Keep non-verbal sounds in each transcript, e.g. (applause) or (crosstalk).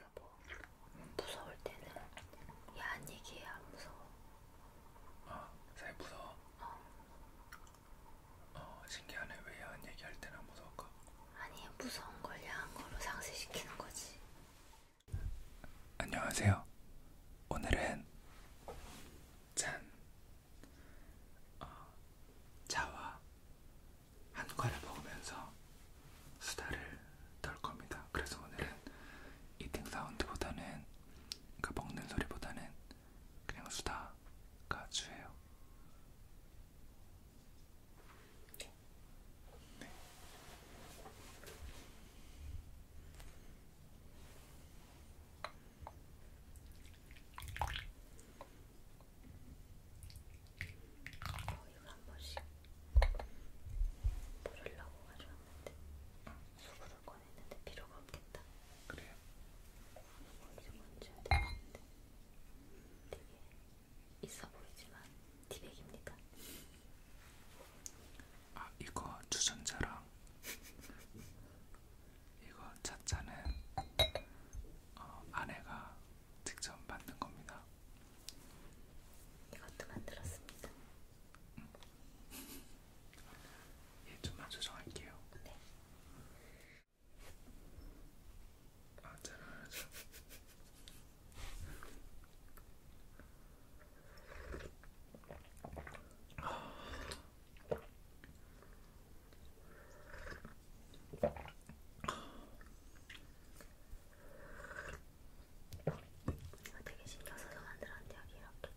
여보, 무서울 때는 야한 얘기해, 안 무서워. 아, 잘 무서워? 어. 어, 신기하네. 왜 야한 얘기할 때는 안 무서울까? 아니, 무서운 걸 야한 걸로 상쇄시키는 거지. 안녕하세요. 오늘은 짠! 어, 자와 한과를 먹으면서 수다를 떨 겁니다. 그래서 오늘은 이팅 사운드보다는 그러니까 먹는 소리보다는 그냥 수다가 주예요. 네. 어, 이거 한 번씩 부르려고 가져왔는데 수구를 꺼냈는데 필요가 없겠다. 그래요? 어디서 건져야 되는데 되게 있어 보이지만 티백입니다. 아 이거 주전자랑 (laughs) 이거 차차는 어, 아내가 직접 만든 겁니다. 이것도 만들었습니다. 음. 예, 얘 좀만 조정할게요. 네. 아, 잘하죠. 이거 되게 신경 써서 만들었는데 여기 이렇게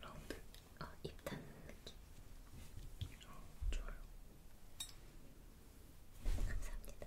라운드? 어, 입탄 느낌 어, 좋아요 감사합니다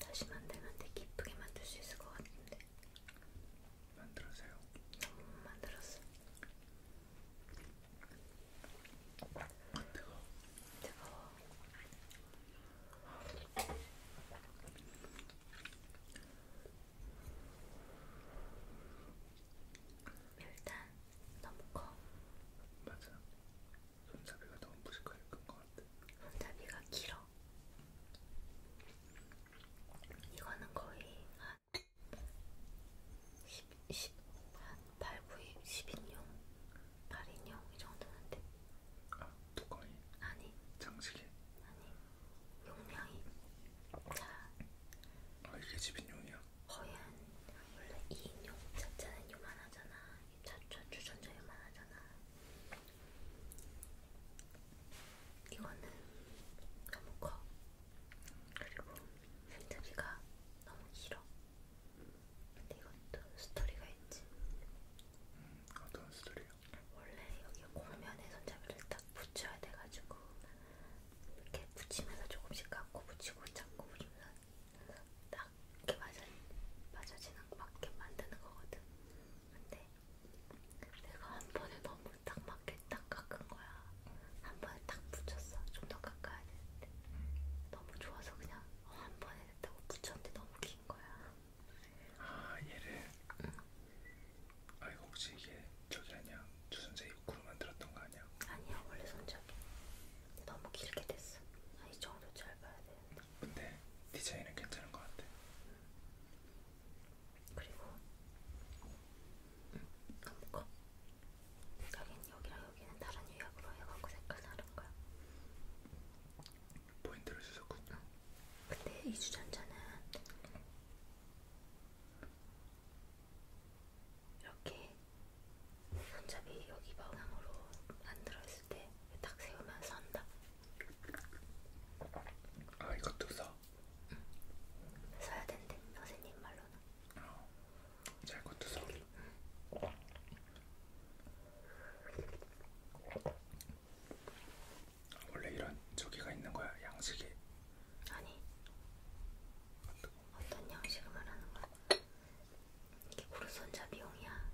다시 만들면 되게 기쁘게 만들 수 있을 것 같은데 만들었어요? 너무 못 만들었어. 아, 뜨거워. 뜨거워. 일단 너무 커. 맞아. 손잡이가 너무 무식하게 큰 것 같아. 손잡이가 길어. 이거는 거의 한 10, 8, 9, 10인용, 8인용 이 정도면 돼. 아, 두꺼이? 아니. 장식이? 아니. 용량이. 자. 아, 이게 10인용이야? 거의 한, 원래 2인용 자체는 요만하잖아. 자차 주전자 요만하잖아. 이거는 너무 커. 그리고 힌트비가 너무 길어. 근데 이것도 스토리가 있지. 음, 어떤 스토리요? 원래 여기 공면에 손잡이를 딱 붙여야 돼가지고 이렇게 붙이면서 조금씩 깎고 붙이고 잡고 붙이면서 딱 이렇게 맞아 맞아지는 맞게 만드는 거거든. 근데 내가 한 번에 너무 그리고 딱 맞게 딱 깎은 거야. 한 번에 딱 붙였어. 좀 더 깎아야 되는데 너무 좋아서 그냥 어, 한 번에 됐다고 붙였는데 너무 긴 거야. 아 얘를. 응. 아 이거 혹시 이게 저기 아니야? 주전자 입구로 만들었던 거 아니야? 아니야 원래 손잡이. 너무 길게 됐어. 아, 이 정도 짧아야 되는데. 근데 디자인은 괜찮은 것 같아. 응. 그리고 감고 여긴 여기랑 여기는 다른 예약으로 해갖고 색깔 다른거야 포인트를 주셨군요 근데 이 주전자는 이렇게 손잡이 여기 방향으로 안 들어있을 때 딱 세우면 선다 아 이것도 써? 써야 된대 선생님 말로는. 어, 잘 것도 써. 원래 이런 저기가 있는 거야 양식이? 아니. 어떤, 어떤 양식을 말하는 거야? 이게 고르손자 비용이야.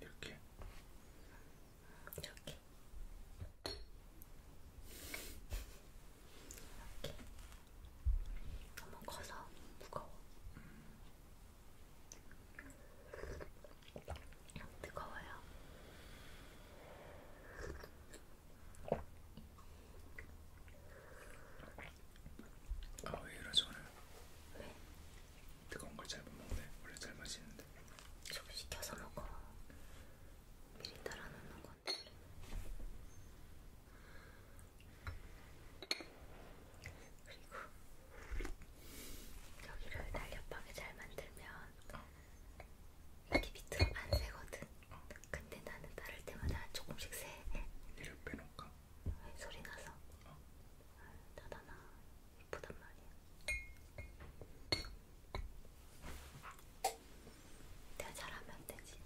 여보. 이렇게 이렇게. 이렇게. 너무 커서 무거워. 뜨거워요. 아왜 이러지 오늘? 왜? 뜨거운 걸 잘 못 먹네. 원래 잘 마시는데. 좀 시켜서 먹어. 미리 따라 놓는 건데. 그리고 여기를 날렵하게 잘 만들면 이게 밑으로 안 새거든. 근데 나는 따를 때마다 조금씩 새. 이를 빼놓을까? 네, 소리 나서. 어. 아, 닫아놔. 예쁘단 말이야. 내가 잘하면 되지.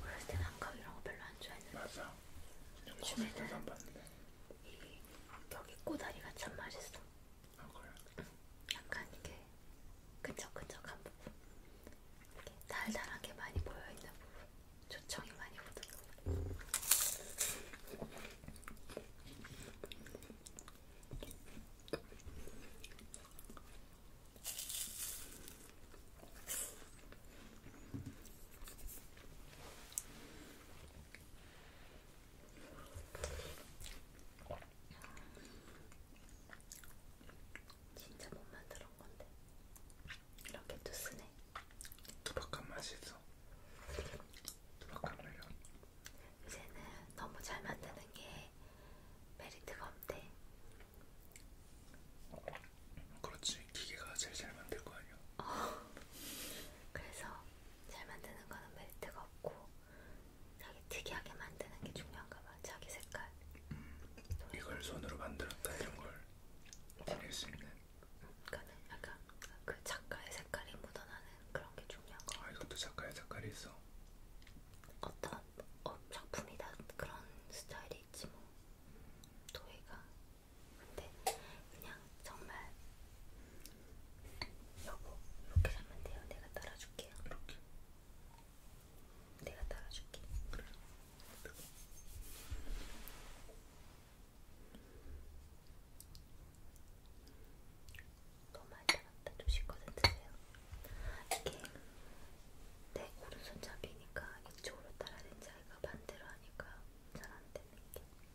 어렸을 때 난감 이런 거 별로 안 좋아했는데 맞아. 요즘에는 이 여기 꼬다리가 참 맛있어. 아 그래? 응. 약간 이게 끈적끈적한 부분, 이렇게 달달하게 많이 보여 있는 부분, 조청이 많이 묻은 부분. 진짜 못 만들어 건데 이렇게 또 쓰네. 두박한 맛이 있어. 두박한 매력. 이제는 너무 잘 만드는 게 메리트가 없대. 그렇지 기계가 제일 잘 만들 거 아니야. 어. 그래서 잘 만드는 거는 메리트가 없고 자기 특이하게 만드는 게 중요한가 봐. 자기 색깔. 음, 이걸 손으로 만들었다 이런 걸 드릴 수 있는. 그러니까 약간 그 작가의 색깔이 묻어나는 그런 게 중요한 거. 아 이것도 작가의 색깔이 있어. 어떤 어, 작품이다 그런 스타일이 있지 뭐. 도희가 근데 그냥 정말 여보 이렇게 잡으면 돼요. 내가 따라줄게요. 이렇게. 내가 따라줄게. 그래. 너무 많이 따랐다. 조심껏 드세요. 이게 내 오른손잡이니까 이쪽으로 따라야 되는지 아이가 반대로 하니까 잘 안 되는 게.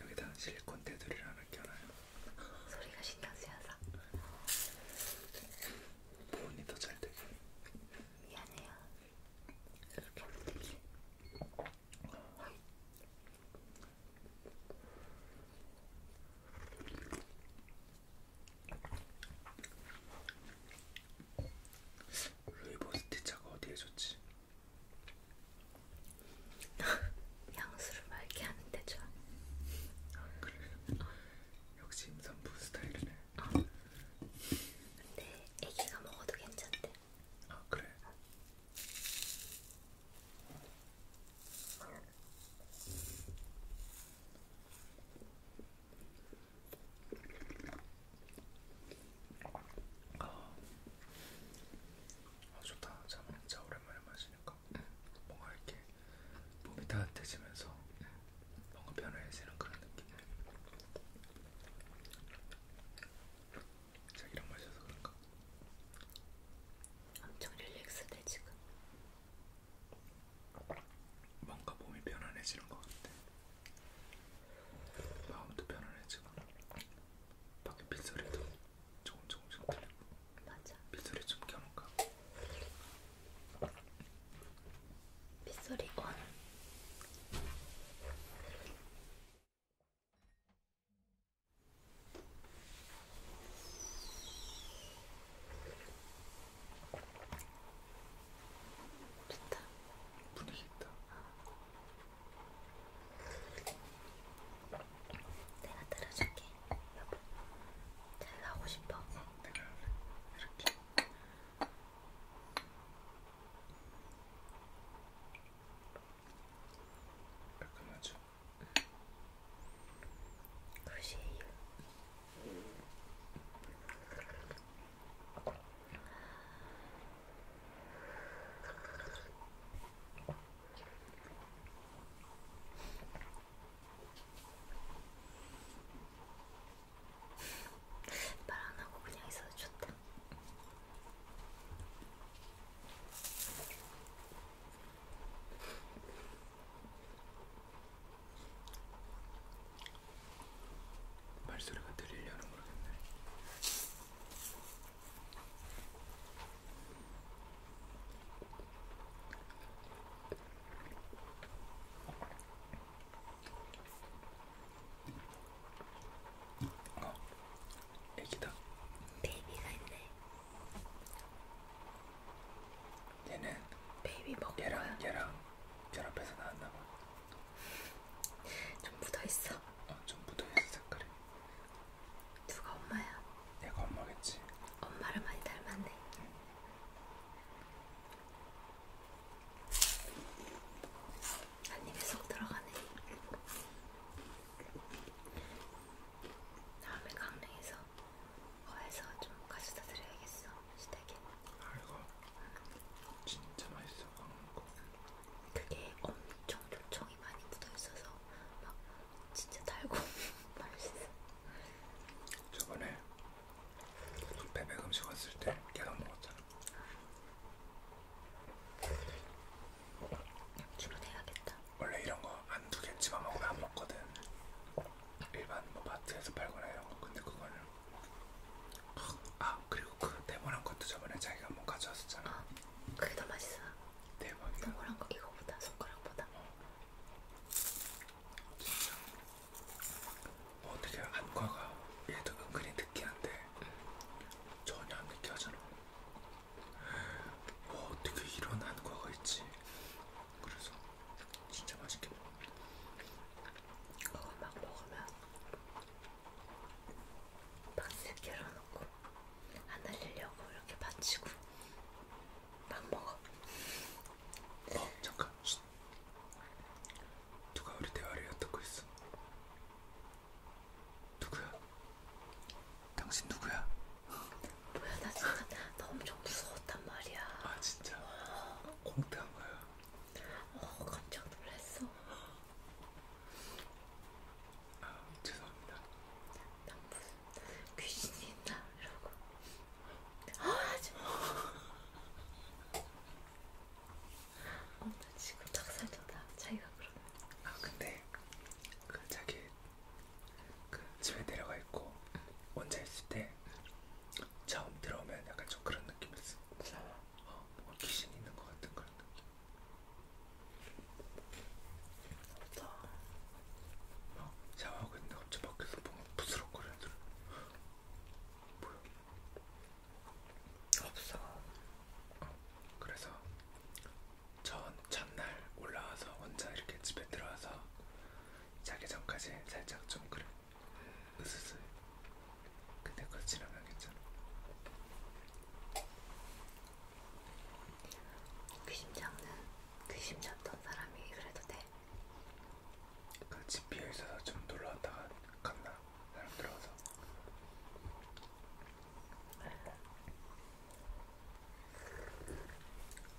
여기다 실리콘 테두리를 하나 껴놔요. 소리가 신경 쓰여서. 보온이 더잘 되게. 미안해요. 이렇게 하면 되지. 루이보스티차가 어디에 좋지? 향수를 (laughs) 맑게 하는데 좋아. 아 그래. 역시 임산부 스타일이네. 어. 근데 아기가 먹어도 괜찮대. 아 그래. 어. 아, 아 좋다. 자, 자 오랜만에 마셔. 있으니까 뭔가 이렇게 몸이 따뜻해지면서 뭔가 변화해지는 그런 느낌. 자기랑 마셔서 그런가? 엄청 릴렉스돼 지금. 뭔가 몸이 편안해지는 것 같아. 마음도 편안해지고 밖에 빗소리도 조금 조금씩 들리고 맞아 빗소리 좀 켜놓을까? 빗소리 온 좋다 분위기 있다 어. 내가 들어줄게 여보 잘 가고 싶어 이렇게 깔끔하죠? 굿이에요 말 안하고 그냥 있어도 좋다. 말소리가 들리려나 모르겠네. 어, 애기다. 베이비가 있네. 얘는 베이비 먹. 얘랑 얘랑 결합해서 나왔나 봐. 좀 묻어 있어. 어, 좀 묻어 있어 색깔이. 누가 엄마야? 내가 엄마겠지. 엄마를 많이 닮았네. 응. 한 입에 쏙 들어가네. 다음에 강릉에서 거에서 좀 가져다 드려야겠어. 시댁에. 알고. 진짜 맛있어 강릉 거. 그게 엄청 좋죠. 정이 많이 묻어있어서 막 진짜 달고 (laughs) 맛있어. 저번에 배백 그 음식 왔을 때 계란 먹었잖아. 주로 해야겠다. 원래 이런 거안 두겠지만 먹으면 안 먹거든. 일반 뭐 마트에서 팔거나 이런 거. 근데 그거는 아 그리고 그 대본한 것도 저번에 자기가 한번 가져왔었잖아. 어, 그게 더 맛있어. 대박이야. 동그란 거 이거보다 손가락보다. 진짜. 어, 뭐 어떻게 안과가 얘도 은근히 느끼한데 전혀 안 느끼하잖아. 뭐 어떻게 이런 안과가 있지? 그래서 진짜 맛있게 먹어. 그거 막 먹으면 박스 열어놓고 안 흘리려고 이렇게 받치고 막 먹어. 어 잠깐. 쉿. 누가 우리 대화를 엿듣고 있어? 누구야? 당신 누구야? 뭐야 나 진짜 나 엄청 무서웠단 말이야. 아 진짜. 공태한 거야. 어 깜짝 놀랐어. 아, 죄송합니다. 난 무슨 귀신이 있나? 이러고. 아, 하지 마. 엄마 지금 닭살돋다 자기가 그러면. 아, 근데 그 자기 그 집에 내려가 있고 혼자 있을 때 처음 들어오면 약간 좀 그런 느낌이었어. 무서워. 어, 뭔가 뭐 귀신이 있는 것 같은 그런 느낌. 좋다. 어, 샤워하고 있는데 갑자기 밖에서 뭔가 부스럭거리는 소리. 뭐야? 없어. 어, 그래서 전 전날 올라와서 혼자 이렇게 집에 들어와서 자기 전까지 살짝 좀 그래. 음. 으스스. 근데 그거 지나가겠잖아. 귀신 잡는 귀신 잡던 사람이 그래도 돼? 그집 비어 있어서 좀 놀러 왔다가 갔나? 사람 들어와서.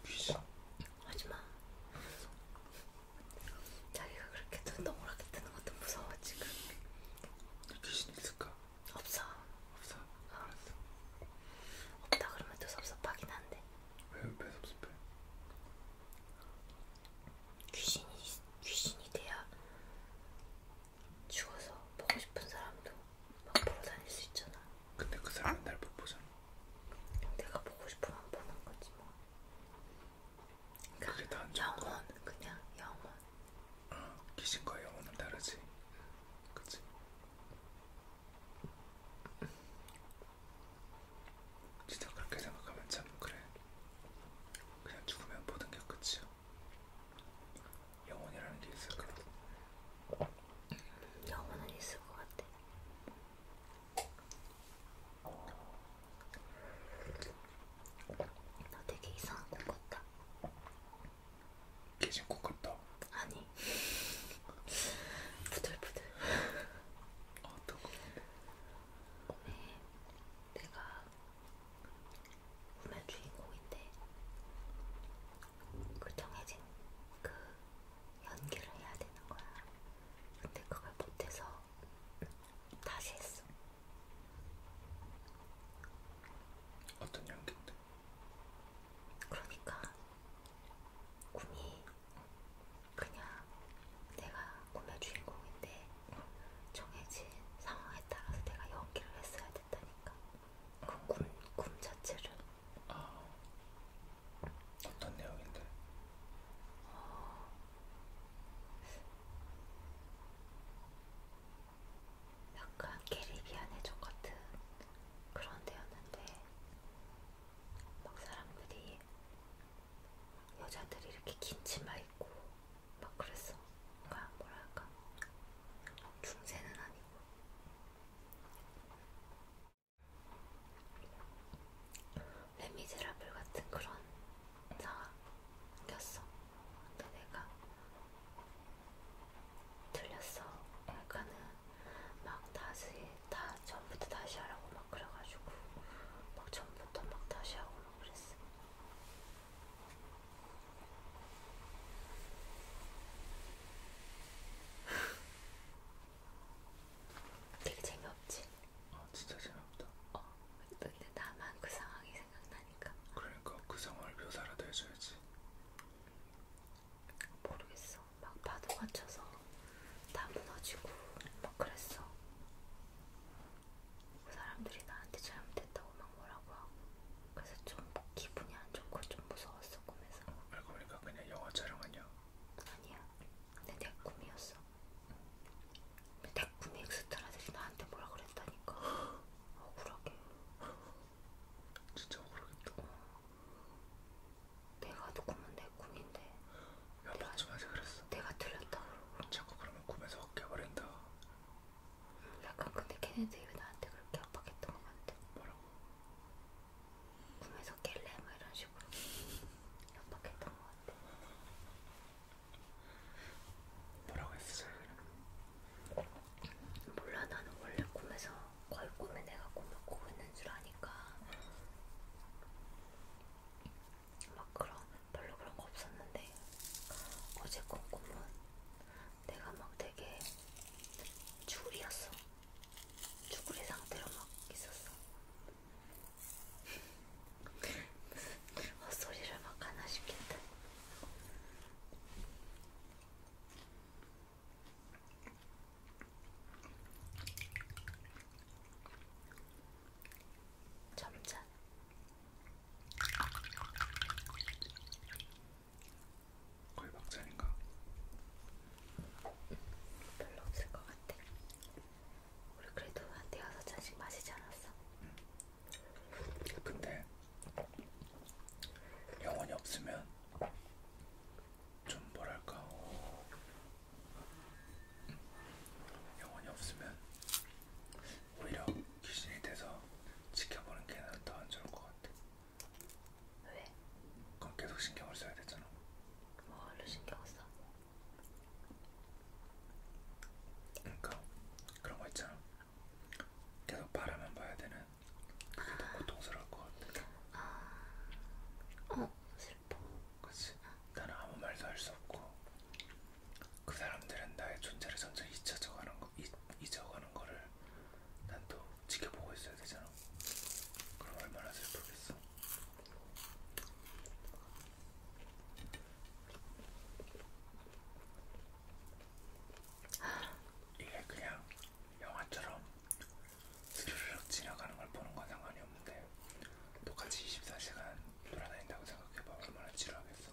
귀신. 하지마. 자기가 그렇게 눈 동그랗게 뜨는 것도 무서워 지금. 귀신 있을까? 없어. 없어. 어. 알았어. 없다 그러면 또 섭섭하긴 한데. 왜, 왜 섭섭해? 귀신이 귀신이 돼야 죽어서 보고 싶은 사람도 막 보러 다닐 수 있잖아. 근데 그 사람 날못 보잖아. 내가 보고 싶으면 보는 거지 뭐. 그러니까 영혼 그냥 영혼. 어, 귀신과 영혼은 다르지. 그치? 진짜 그렇게 생각하면 참 그래. 그냥 죽으면 모든 게 끝이야. 영혼이라는 게 있을 거라고. 영혼은 있을 것 같아. 나 되게 이상한 꿈 같다. 개진코 같다. 아니. (laughs) 부들부들. 어떤 거? 꿈에 내가 꿈의 주인공인데 그 정해진 그 연기를 해야 되는 거야. 근데 그걸 못해서 다시 했어. 어떤 연기인데? 그러니까 꿈이 그냥 내가 꿈의 주인공인데 정해진 상황에 따라서 내가 연기를 했어야 된다니까. 그 꿈 꿈 자체를. 아 어떤 내용인데? 어... 약간 캐리비안 해적 같은 그런 데였는데 막 사람들이 여자들이 이렇게 긴 치마 입고 막 그랬어. 그러니까 뭐랄까 중세는 아니고 레미제라블 같은 그런 상황이었어. 근데 내가 틀렸어. 그러니까는 막 다시 다 전부터 다시 하라고 막 그래가지고 막 전부터 막 다시 하고 막 그랬어. (laughs) 되게 재미없지? 아 진짜 재미없다. 어, 근데 나만 그 상황이 생각나니까. 그러니까 그 상황을 묘사라도 해줘야지. 모르겠어. 막 파도가 쳐서 다 무너지고 막 그랬어. 그 사람들이 나한테 잘못했다고 막 뭐라고 하고 그래서 좀 기분이 안 좋고 좀 무서웠어 꿈에서. 알고 보니까 그러니까 그냥 영화 촬영 아니야? 아니야. 근데 내 꿈이었어. 내 꿈이 엑스트라들이 나한테 뭐라 그랬다니까. (gasps) 억울하게. 진짜 억울하겠다. 내가 꿈은 내 꿈인데. 몇 번쯤 하지 그랬어. 내가 틀렸다. 자꾸 그러면 꿈에서 깨버린다. 음, 약간 근데 걔네들이 나한테 그렇게 압박했던 것 같아. 뭐라고? 꿈에서 깰래? 막 뭐 이런 식으로 압박했던 것 같아. 뭐라고 했어? 몰라 나는 원래 꿈에서 거의 꿈에 내가 꿈을 꾸고 있는 줄 아니까 막 그런 별로 그런 거 없었는데 어제 꾼 꿈은 내가 막 되게 쭈구리였어 쭈구리 상태로 막 있었어 (laughs) 헛소리를 막 하나 싶겠다 점점 거의 막장인가? 별로 없을 것 같아. 우리 그래도 한 대여섯 잔씩 마시지 않았어? 근데 영혼이 없으면 좀 뭐랄까 음. 영혼이 없으면 오히려 귀신이 돼서 지켜보는 게 더 안 좋을 것 같아. 왜? 그럼 계속 신경을 써야 되잖아. 뭘로 신경 써? 그러니까 그런 거 있잖아. 계속 바라만 봐야 되는 그게 아... 더 고통스러울 것 같아. 아, 어 슬퍼. 그렇지. 나는 아무 말도 할 수 없고 그 사람들은 나의 존재를 점점 잊혀져가는 거, 잊, 잊어가는 거를 난 또 지켜보고 있어야 되잖아. 그럼 얼마나 슬프겠어. 이게 그냥 영화처럼 스르륵 지나가는 걸 보는 건 상관이 없는데 똑같이 24시간 돌아다닌다고 생각해봐 얼마나 지루하겠어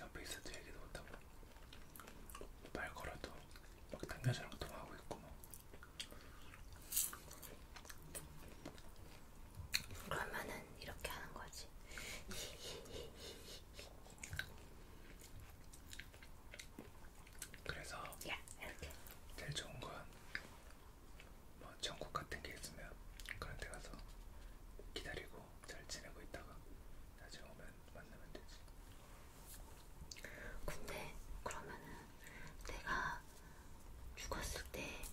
옆에 있어도 얘기도 못하고 말 걸어도 막 남자처럼 통하고 있고 뭐. 그러면은 이렇게 하는 거지. 그래서 yeah, okay. 제일 좋은 건 뭐 전국 같은 게 있으면 그런 데 가서 기다리고 잘 지내고 있다가 나중에 오면 만나면 되지. 근데 그러면은 내가 죽었을 때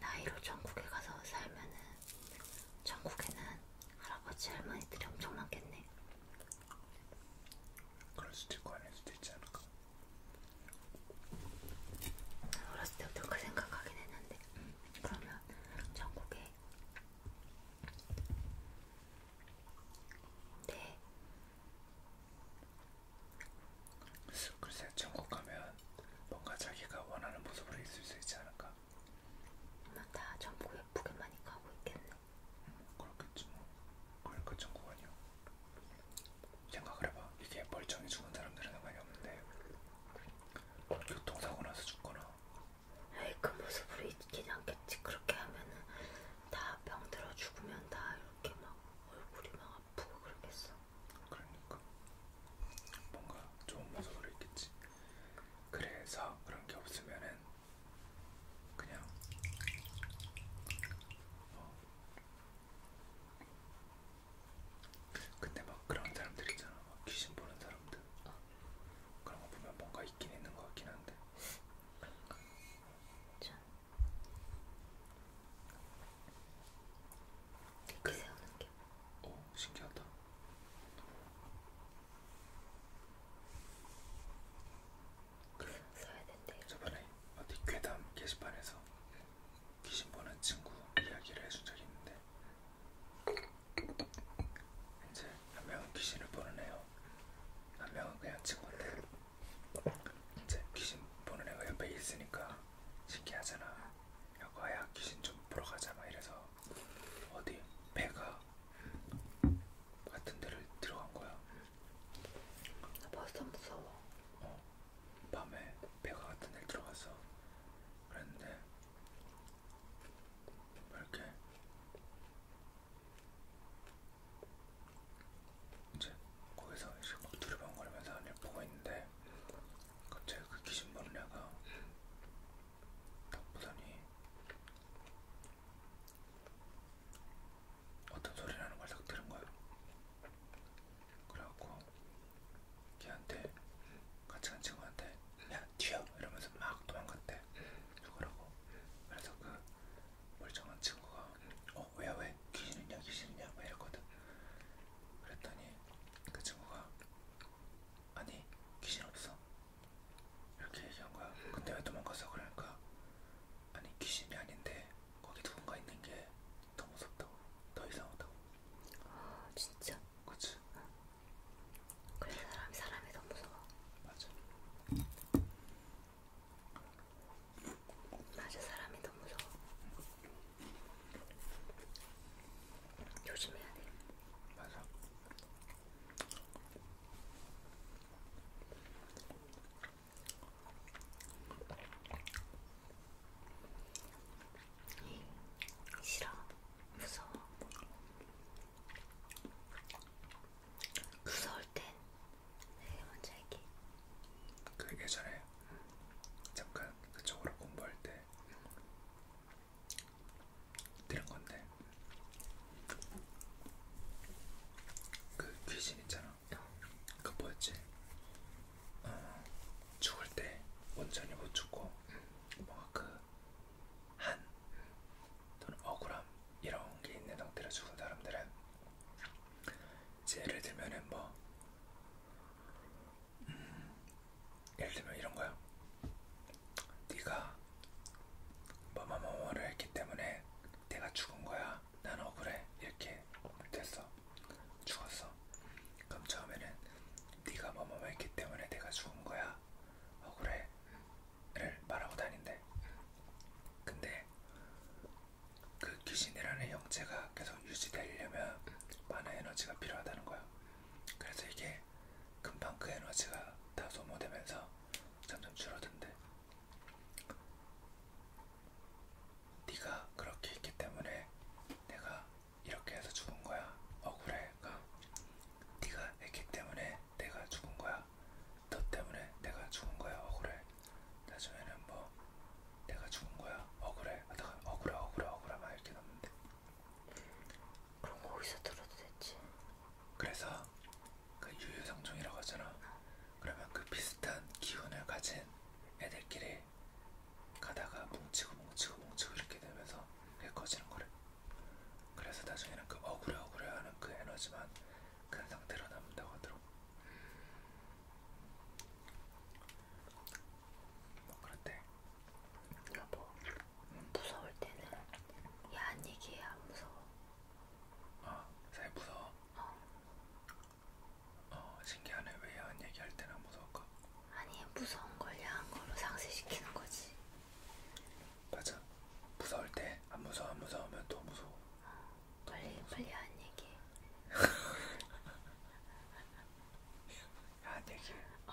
나이로 전국에 가서 살면은 전국에는 할아버지 할머니들이 엄청 많겠네. 그럴 수도 있고 아닐 수도 있지 않을까? 어렸을 때부터 그 생각하긴 했는데 음, 그러면 전국에 네 글쎄 전국 가면 뭔가 자기가 원하는 모습으로 있을 수 있지 않을까? 엄마 다 전부 예쁘게 많이 가고 있겠네. 음, 그렇겠지 뭐. 그러니까 천국 그 아니야. 생각을 해봐. 이게 멀쩡히 죽은 사람들은 상관이 없는데 교통사고 나서 죽거나. 에이 그 모습으로 있긴 않겠지. 그렇게 하면은 다 병들어 죽으면 다 이렇게 막 얼굴이 막 아프고 그러겠어. 그러니까 뭔가 좋은 모습으로 있겠지. 그래서 그런 게 없으면은 그냥 어. 근데 막 그런 사람들 있잖아 막 귀신 보는 사람들 어. 그런 거 보면 뭔가 있긴 있는 것 같긴 한데 그런가? 전 이렇게 그... 세우는 게 오, 어, 신기하다 그래. 써야 된대요. 저번에 어디 괴담 게시판에서 귀신 보는 친구 이야기를 해준 적이 있는데 이제 한 명은 귀신을 보는 애요. 한 명은 그냥 친구인데 이제 귀신 보는 애가 옆에 있으니까 신기하잖아. 여거야 귀신 좀 보러 가자 막 이래서 어디 배가 같은 데를 들어간 거야. 나 벌써 무서워. 어, 밤에 배가 같은 데를 들어가서 그랬는데 뭐 이렇게 이제 거기서 이제 막 두리번거리면서 하늘 보고 있는데 갑자기 그 귀신 보는 애가 딱 보더니 어떤 소리라는 걸딱 들은 거야. 그래갖고 걔한테 같이 간 친구한테 야 튀어 이러면서 막 도망갔대. 그거라고. 그래서 그 멀쩡한 친구가 어 왜야 왜 귀신이냐 귀신이냐 왜 이랬거든. 그랬더니 그 친구가 아니 귀신 없어 이렇게 얘기한 거야. 근데 왜 도망갔어? 그러니까 아니 귀신이 아닌데 거기 누군가 있는 게 더 무섭다고, 더 이상하다고. 아 진짜. 그렇지. 응. 그래 사람 사람이 더 무서워. 맞아. 맞아 사람이 더 무서워. 조심해야 돼. 맞아. 싫어, 무서워. 무서울 땐 내가 먼저 할게. 그게 전에 잠깐 그쪽으로 공부할 때 들은 건데 그 귀신 있잖아. 그 뭐였지? 어, 죽을 때 온전히 못 죽고 뭔가 그 한 또는 억울함 이런 게 있는 상태로 죽은 사람들은 이제 예를 들면은 뭐 음, 예를 들면 이런 거야. 네가 뭐뭐뭐뭐를 했기 때문에 내가 죽은 거야. 난 억울해. 이렇게 됐어. 죽었어. 그럼 처음에는 네가 뭐뭐뭐 했기 때문에 내가 죽은 거야. 억울해를 말하고 다닌대. 근데 그 귀신이라는 형체가 계속 유지되려면 많은 에너지가 필요하다는 거야. 그래서 이게 금방 그 에너지가 다 소모되면서 점점 줄어든대. 네가 그렇게 있기 때문에 내가 이렇게 해서 죽은 거야. 억울해가. 네가 했기 때문에 내가 죽은 거야. 너 때문에 내가 죽은 거야. 억울해. 나중에는 뭐 내가 죽은 거야. 억울해. 하다가 억울해 억울해 억울해 막 이렇게 넘는데 그럼 거기서 들어도 됐지. 그래서 그 유유상종이라고 하잖아. 그러면 그 비슷한 기운을 가진 애들끼리 가다가 뭉치고 뭉치고 뭉치고 이렇게 되면서 그게 커지는 거래. 그래서 나중에는 그 억울해 억울해 하는 그 에너지만 큰 그 상태로 남는다고 하더라고. 뭐 그런데 여보, 뭐, 무서울 때는 야한 얘기해, 안 무서워. 아, 잘 무서워? 어. 어, 신기하네. 왜 야한 얘기할 때는 안 무서울까? 아니, 무서운 걸 야한 걸로 상쇄시키는 거지. 맞아. 무서울 때 안 무서워, 안 무서우면 더 무서워. 어, 빨리, 빨리 야한 얘기 야한 얘기? 어.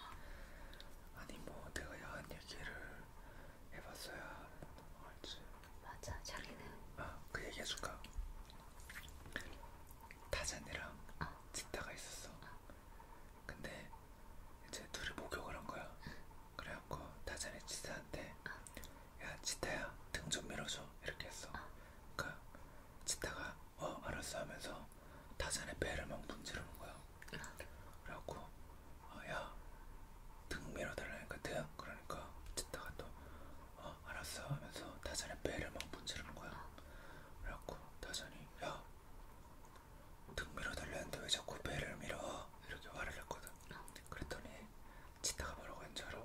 아니 뭐 내가 야한 얘기를 해봤어야 알지. 맞아, 자기는. 아, 그 얘기해줄까? 다잔이랑 아. 어. 지타가 있었어. 아. 근데 이제 둘이 목욕을 한 거야. 그래갖고 다잔이 지타한테 아. 야, 지타야, 등 좀 밀어줘. 이렇게 했어. 아. 그러니까 지타가 어, 알았어 하면서 타산의 배를 막 문지르는 거야. 그래갖고 어, 야등 밀어달라니까 등 그러니까 짓다가 또 어, 알았어 하면서 타산의 배를 막 문지르는 거야. 그래갖고 타산이 야 등 밀어달라는데 왜 자꾸 배를 밀어 이렇게 화를 냈거든. 그랬더니 짓다가 뭐라고 한줄 알아?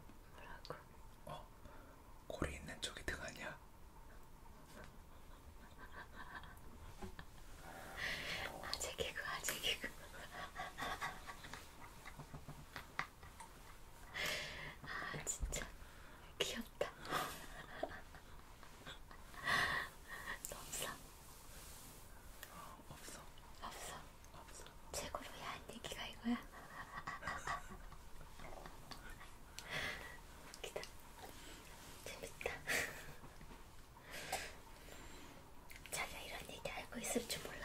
어 고리 있는 쪽이 등 아니야? 아재 개그 아재 개그 아 진짜 귀엽다 없어 없어 없어 없어 최고로 야한 얘기가 이거야 기다 재밌다 자기가 이런 얘기 알고 있을 줄 몰랐네.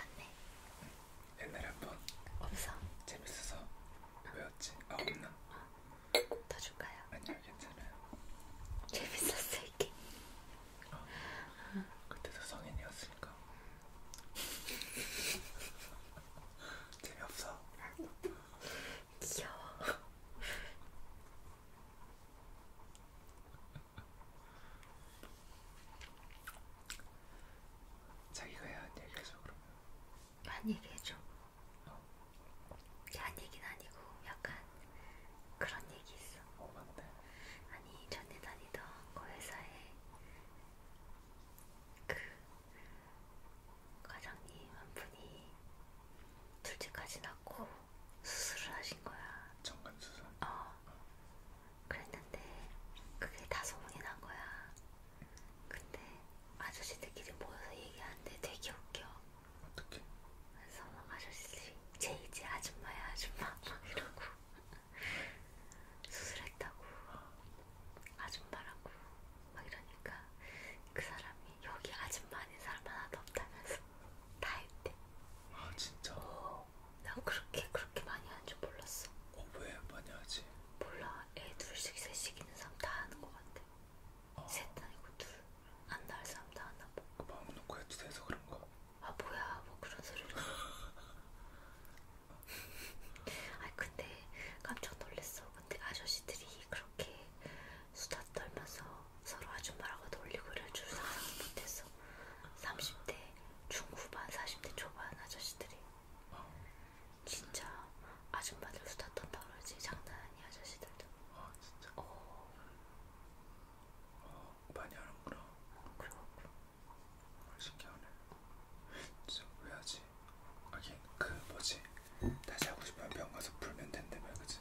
옛날에 한번 없어. 재밌어서 외웠지. 아 없나? 어. 더 줄까요? 아니요 괜찮아요. 재밌었어 이게. 어. 어. 그때도 성인이었으니까. (laughs) 재미없어. 귀여워. (laughs) 자기가 야한 얘기해줘 그러면 야한 얘기해줘 어. 야한 얘기는 아니고 약간 그런 얘기 있어 어 맞네 아니 전에 다니던 그 회사에 그 과장님 한 분이 둘째까지 낳고 수술을 하신 거야. 정관 수술. 어. 그랬는데 그게 다 소문이 난 거야. 근데 아저씨들끼리 모여서 얘기하는데 되게 웃겨. 어떻게? 그래서 아저씨, 제 이제 아줌마야 아줌마 막 이러고 수술했다고 아줌마라고 막 이러니까 그 사람이 여기 아줌마 아닌 사람 하나도 없다면서 다 했대. 아 진짜? 어, 난 그렇게 그렇게 많이 하는 줄 몰랐어. 어왜 많이 하지? 몰라. 애 둘씩 셋씩 있는 사람 다 하는 것 같아. 어. 셋 아니고 둘 안 낳을 사람 다 하나 봐. 아, 마음 놓고 해도 돼서 그런가? 아 뭐야 뭐 그런 소리를. (laughs) 아 근데 깜짝 놀랐어. 근데 아저씨들이 그렇게 수다 떨면서 서로 아줌마라고 놀리고 이럴 줄 상상도 못했어. 30대 중후반, 40대 초반 아저씨들이 진짜 아줌마들 수다 떤다 그러지 장난 아니 아저씨들도. 아 진짜. 어. 어 많이 하는구나. 어, 그래갖고. 신기하네. 진짜 왜 하지? 하긴 그 뭐지 다시 하고 싶으면 병 가서 풀면 된다며 그지?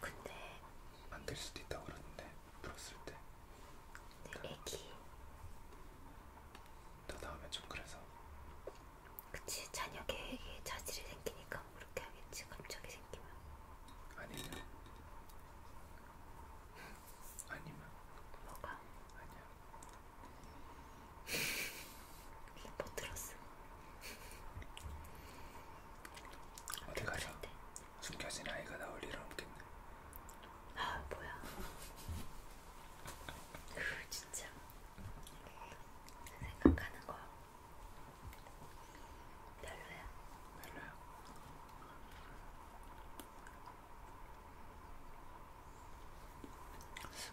근데 안될 수도 있다고 그러는데 풀었을 때. 근데 그 애기. 더 나오면 좀 그래서. 그치 자녀 계획에 자질이 생기니까 뭐 그렇게 하겠지 갑자기 생기면. 아니면. 아니면. 뭐가? 아니야. (laughs) 못 들었어. 어디 가자. 숨겨진 아이가 나올 일은 없겠네. 아 뭐야? 그 진짜 생각하는 거 별로야. 별로야.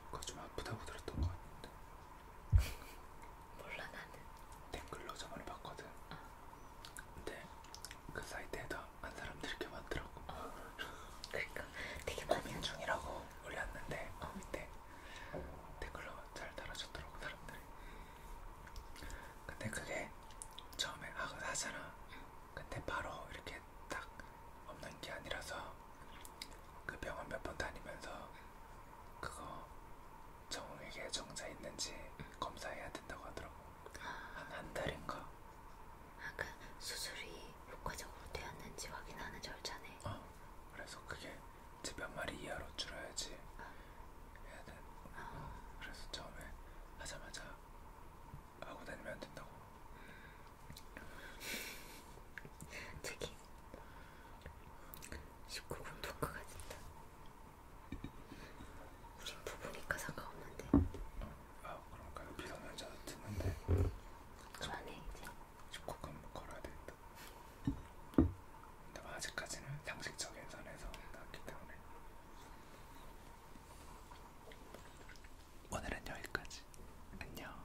그거 좀 아프다고 들었던 것 같은데. 몰라 나는 댓글로 저번에 봤거든 어. 근데 그 사이트에다 한 사람들이 이렇게 많더라고 어. 그러니까 되게 많이 하는 중이라고 올렸는데 어. 밑에 댓글로 잘 달아줬더라고 사람들이 근데 그게 처음에 하고 아, 하잖아 근데 바로 이렇게 딱 없는 게 아니라서 그 병원 몇 번 다니면서 그거 정에게 정자 있는지 검사해야 된다고 하더라고. 한, 한 달인가? 아까 그 수술이 효과적으로 되었는지 확인하는 절차네. 어, 그래서 그게 집몇 마리 이하로 줄여야지 아. 해야 돼. 아. 어, 그래서 처음에 하자마자 하고 다니면 안 된다고. 되게 19분 토크가 됐다. 우린 부부니까 상관없는데. 아 그런가요? 비상연자도 듣는데. 그만해 이제. 19분 걸어야 되겠다. 근데 아직까지는 상식적인 선에서 나왔기 때문에. 오늘은 여기까지. 안녕.